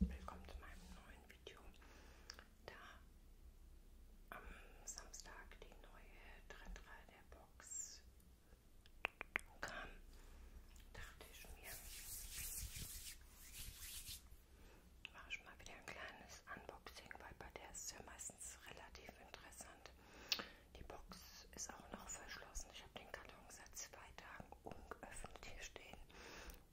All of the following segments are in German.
Willkommen zu meinem neuen Video. Da am Samstag die neue Trendreihe der Box kam, dachte ich mir, mache ich mal wieder ein kleines Unboxing, weil bei der ist es ja meistens relativ interessant. Die Box ist auch noch verschlossen. Ich habe den Kalender Bestellung seit zwei Tagen ungeöffnet hier stehen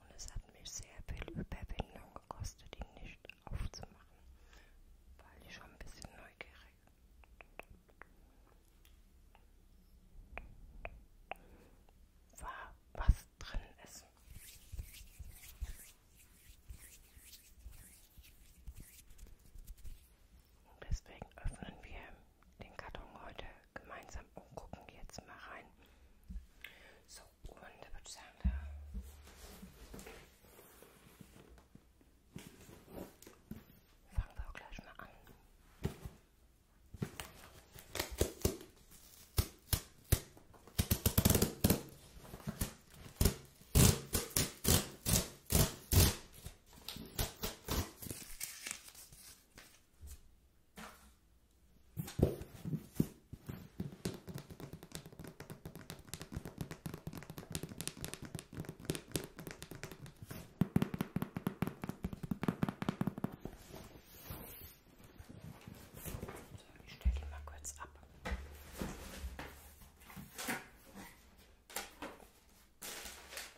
und es hat mich sehr viel Überwindung gekostet, ihn nicht aufzumachen, weil ich schon ein bisschen neugierig war, was drin ist. Und deswegen öffnen wir den Karton heute gemeinsam und gucken jetzt mal rein. So, und da würde ich sagen, da fangen wir auch gleich mal an. Ich stelle die mal kurz ab.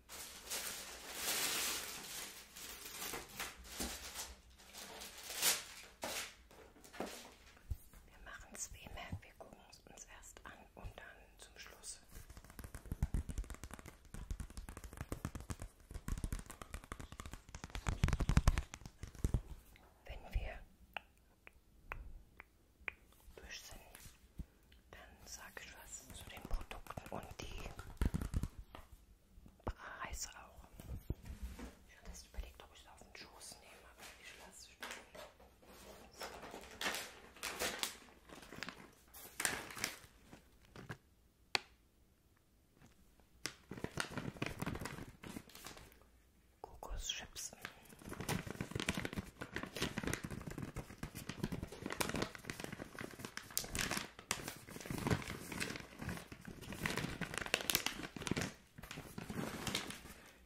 Wir machen es wie immer, wir gucken es uns erst an und dann zum Schluss. Wenn wir durch sind, dann sage ich was zu den Produkten und die Reis auch. Ich habe erst überlegt, ob ich es auf den Schoß nehme, aber ich lasse es stehen. So. Kokoschips.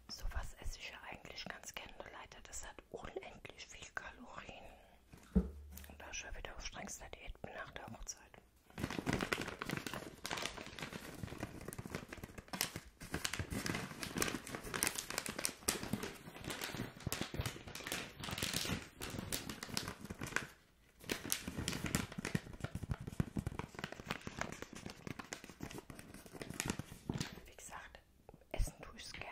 So was esse ich ja eigentlich ganz gerne, Leute. Das hat unendlich viel Kalorien. Und da ich ja wieder auf strengster Diät bin nach der Hochzeit. Wie gesagt, essen tue ich es gerne.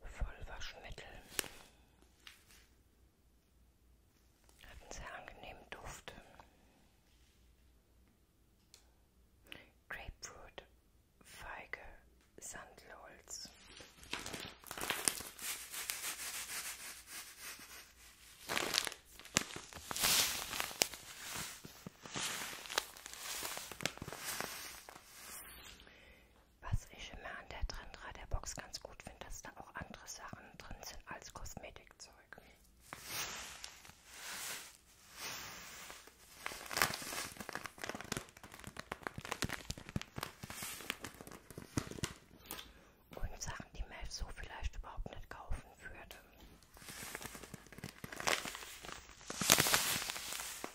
Vollwaschmittel. Hat einen sehr angenehmen Duft. Grapefruit, Feige, Sandelholz. Was ich immer an der Trendra der Box ganz gut finde, dass da auch andere Sachen drin sind als Kosmetikzeug. Und Sachen, die man so vielleicht überhaupt nicht kaufen würde.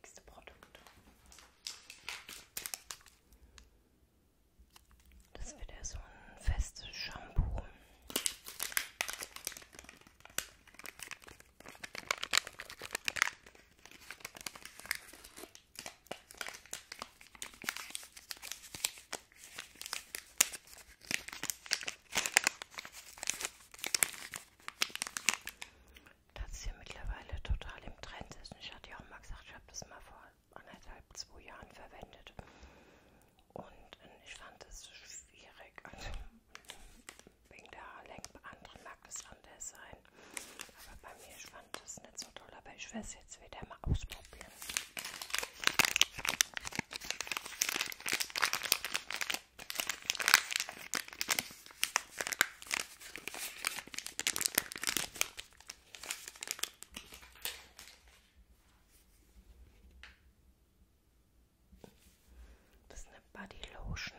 Nächste Produkt. Das wird ja so ein festes Shampoo. Das ist ja mittlerweile total im Trend. Ist. Ich hatte ja auch mal gesagt, ich habe das mal vor anderthalb, zwei Jahren verwendet. Und äh, ich fand es schwierig. Also, wegen der Haarlänge. Bei anderen mag das anders sein. Aber bei mir, ich fand das nicht so toll. Aber ich werde es jetzt wieder mal ausprobieren. Das ist eine Body Lotion.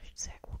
Riecht sehr gut.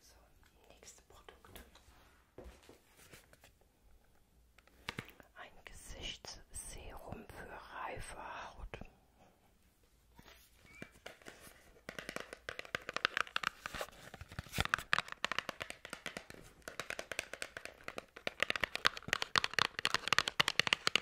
So, nächste Produkt. Ein Gesichtsserum für reife Haut.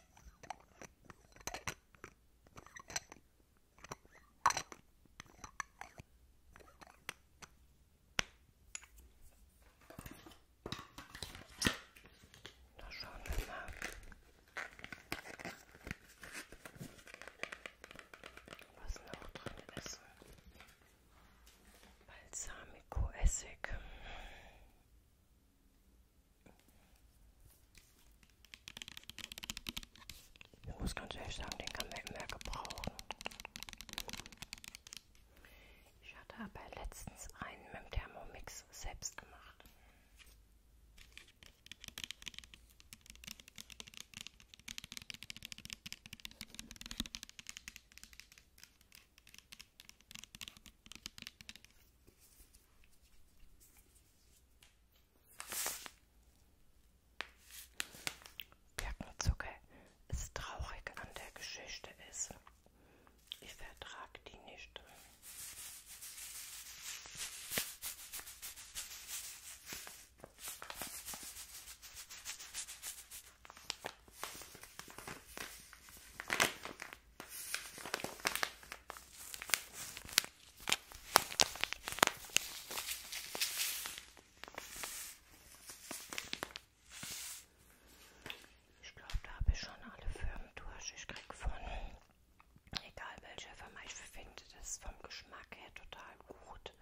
Da schauen wir mal. Was noch drin ist. Balsamico Essig. Ich muss ganz ehrlich sagen, den kann man immer gebrauchen. Ich hatte aber letztens einen mit dem Thermomix selbst gemacht. Birkenzucker ist traurig an der Geschichte ist. Ich vertrage die nicht. Ich glaube, da habe ich schon alle Firmen durch. Ich kriege von, egal welche Firma, ich finde das vom Geschmack her total gut,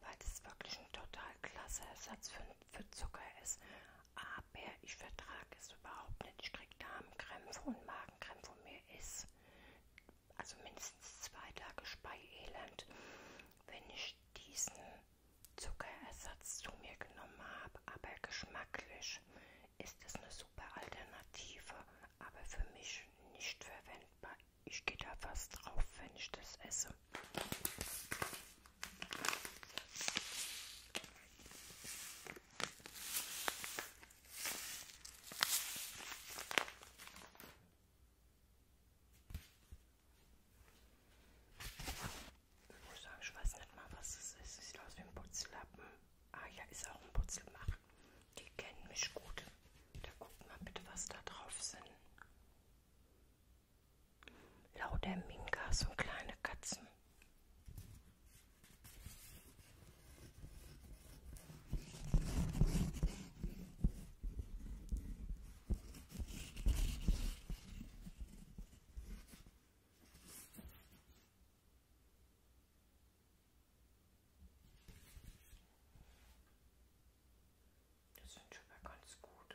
weil es wirklich ein total klasse Ersatz für, für Zucker ist. Aber ich vertrage es überhaupt nicht. Strikt Darmkrämpfe und Magenkrämpfe und mir ist also mindestens zwei Tage Speielend, wenn ich diesen Zuckerersatz zu mir genommen habe. Aber geschmacklich ist es eine super Alternative, aber für mich nicht verwendbar. Ich gehe da fast drauf, wenn ich das esse. Ich muss sagen, ich weiß nicht mal, was es ist. Sieht aus wie ein Putzlappen. Ah ja, ist auch ein Putzelmacher. Die kennen mich gut. Da guckt mal bitte, was da drauf sind. Lauter Mingas und kleine Katzen. Das sind schon mal ganz gut.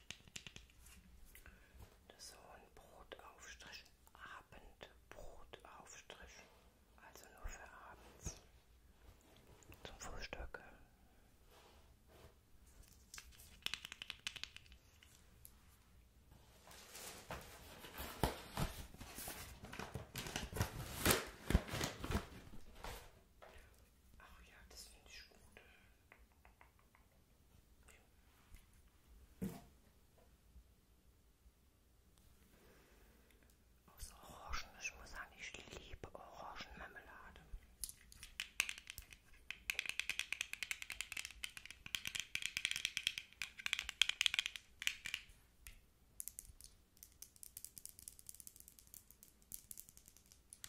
Das ist so ein Brotaufstrich, Abendbrotaufstrich, also nur für abends zum Frühstück. Ach ja, das finde ich gut. Aus Orangen, ich muss sagen, ich liebe Orangenmarmelade.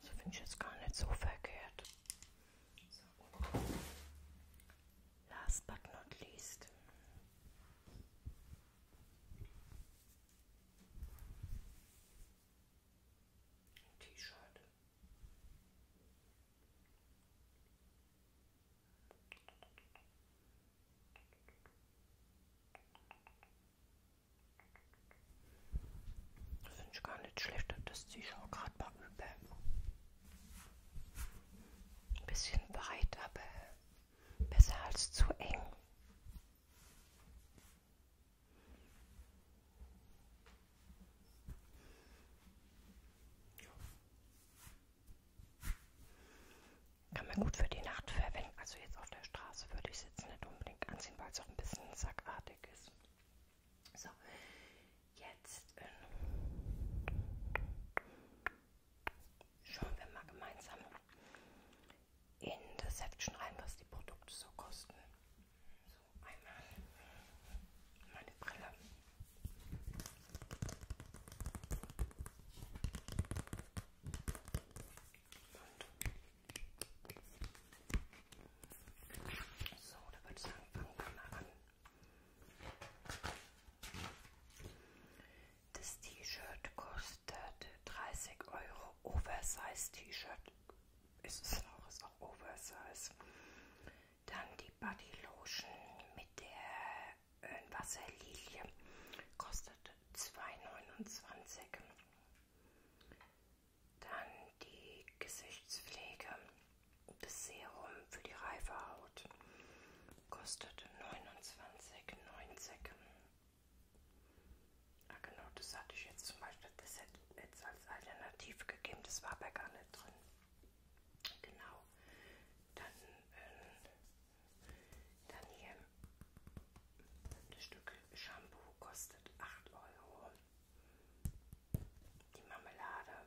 So finde ich jetzt gar nicht so verkehrt. So. Last but not least. Ein T-Shirt. Finde ich gar nicht schlecht, das ziehe ich auch gerade mal über. Ein bisschen breit, aber besser als zu eng. Kann man gut für die Nacht verwenden. Also jetzt auf der Straße würde ich es jetzt nicht unbedingt anziehen, weil es auch ein bisschen sackartig ist. So, jetzt äh, schauen wir mal gemeinsam in das Heft schreiben, was die Produkte so kosten. So, einmal meine Brille. Und so, da würde ich sagen, fangen wir mal an. Das T-Shirt kostet 30 Euro. Oversize T-Shirt ist es auch, ist auch Oversize. Dann die Body Lotion mit der äh, Wasserlilie kostet 2,29. Dann die Gesichtspflege das Serum für die reife Haut kostet 29,90. Ah genau, das hatte ich jetzt zum Beispiel, das hätte jetzt als Alternative gegeben, das war bei gar nicht drin. Genau. Dann, ähm, dann hier das Stück Shampoo kostet 8 Euro. Die Marmelade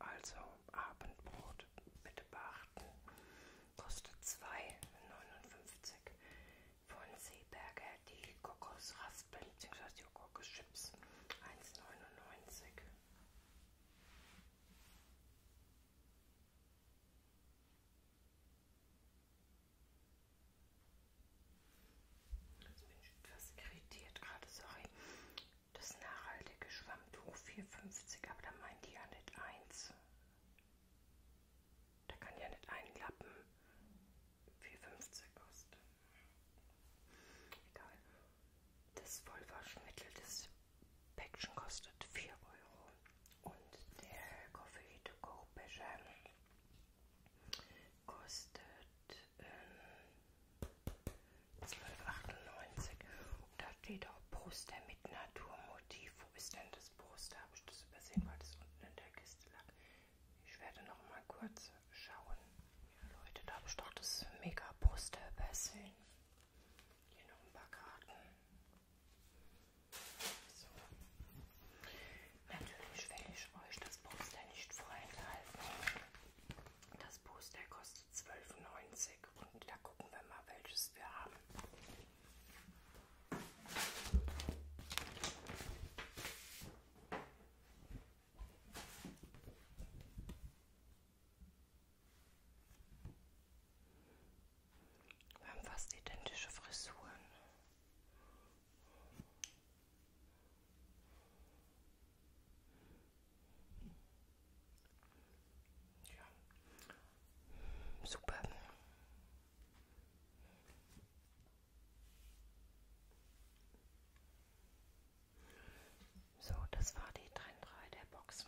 also Abendbrot, bitte beachten, kostet 2,59 von Seeberger die Kokosraspeln bzw. die Kokoschips 1,99. Jetzt bin ich etwas irritiert gerade, sorry. Das nachhaltige Schwammtuch 4,50, aber da meint die ja nicht eins. Da kann ja nicht ein Lappen 4,50 kosten. Egal. Das Vollwaschmittel, das Päckchen kostet 4 Euro. Und der Coffee to go Becher kostet ähm, 12,98. Und da steht auch Poster mit Naturmotiv. Wo ist denn das Poster? Habe ich das übersehen, weil das unten in der Kiste lag? Ich werde noch mal kurz schauen. Ja, Leute, da habe ich doch das mega Poster übersehen. Hier noch ein paar Karten. So. Natürlich will ich euch das Poster nicht vorenthalten. Das Poster kostet 12,90 und da gucken wir mal, welches wir haben. Wir haben fast identische Frisuren. Ja. Super. So, das war die Trend 3 der Box.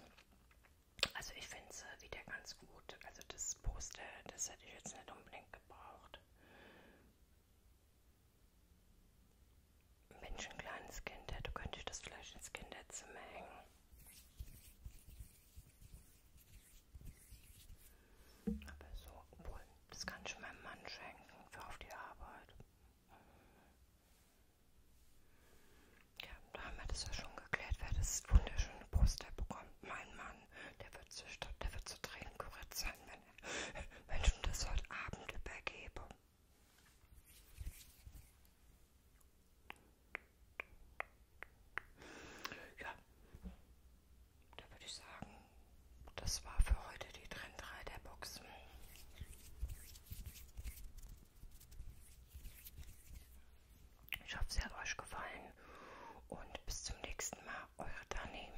Also ich finde sie äh, wieder ganz gut. Also das Poster, das hätte ich jetzt nicht unbedingt gebraucht. Mensch, ein kleines Kind, du könntest das Fleisch ins Kinderzimmer hängen. Aber so, obwohl, das kann ich meinem Mann schenken für auf die Arbeit. Ja, da haben wir das ja schon geklärt, wer das wunderschöne Poster bekommt. Mein Mann, der wird zu, der wird zu Tränen gerührt sein, wenn, er, wenn ich ihm das heute Abend übergebe. Ja, da würde ich sagen, das war für heute die Trend 3 der Boxen. Ich hoffe, sie hat euch gefallen und bis zum nächsten Mal, eure Dani.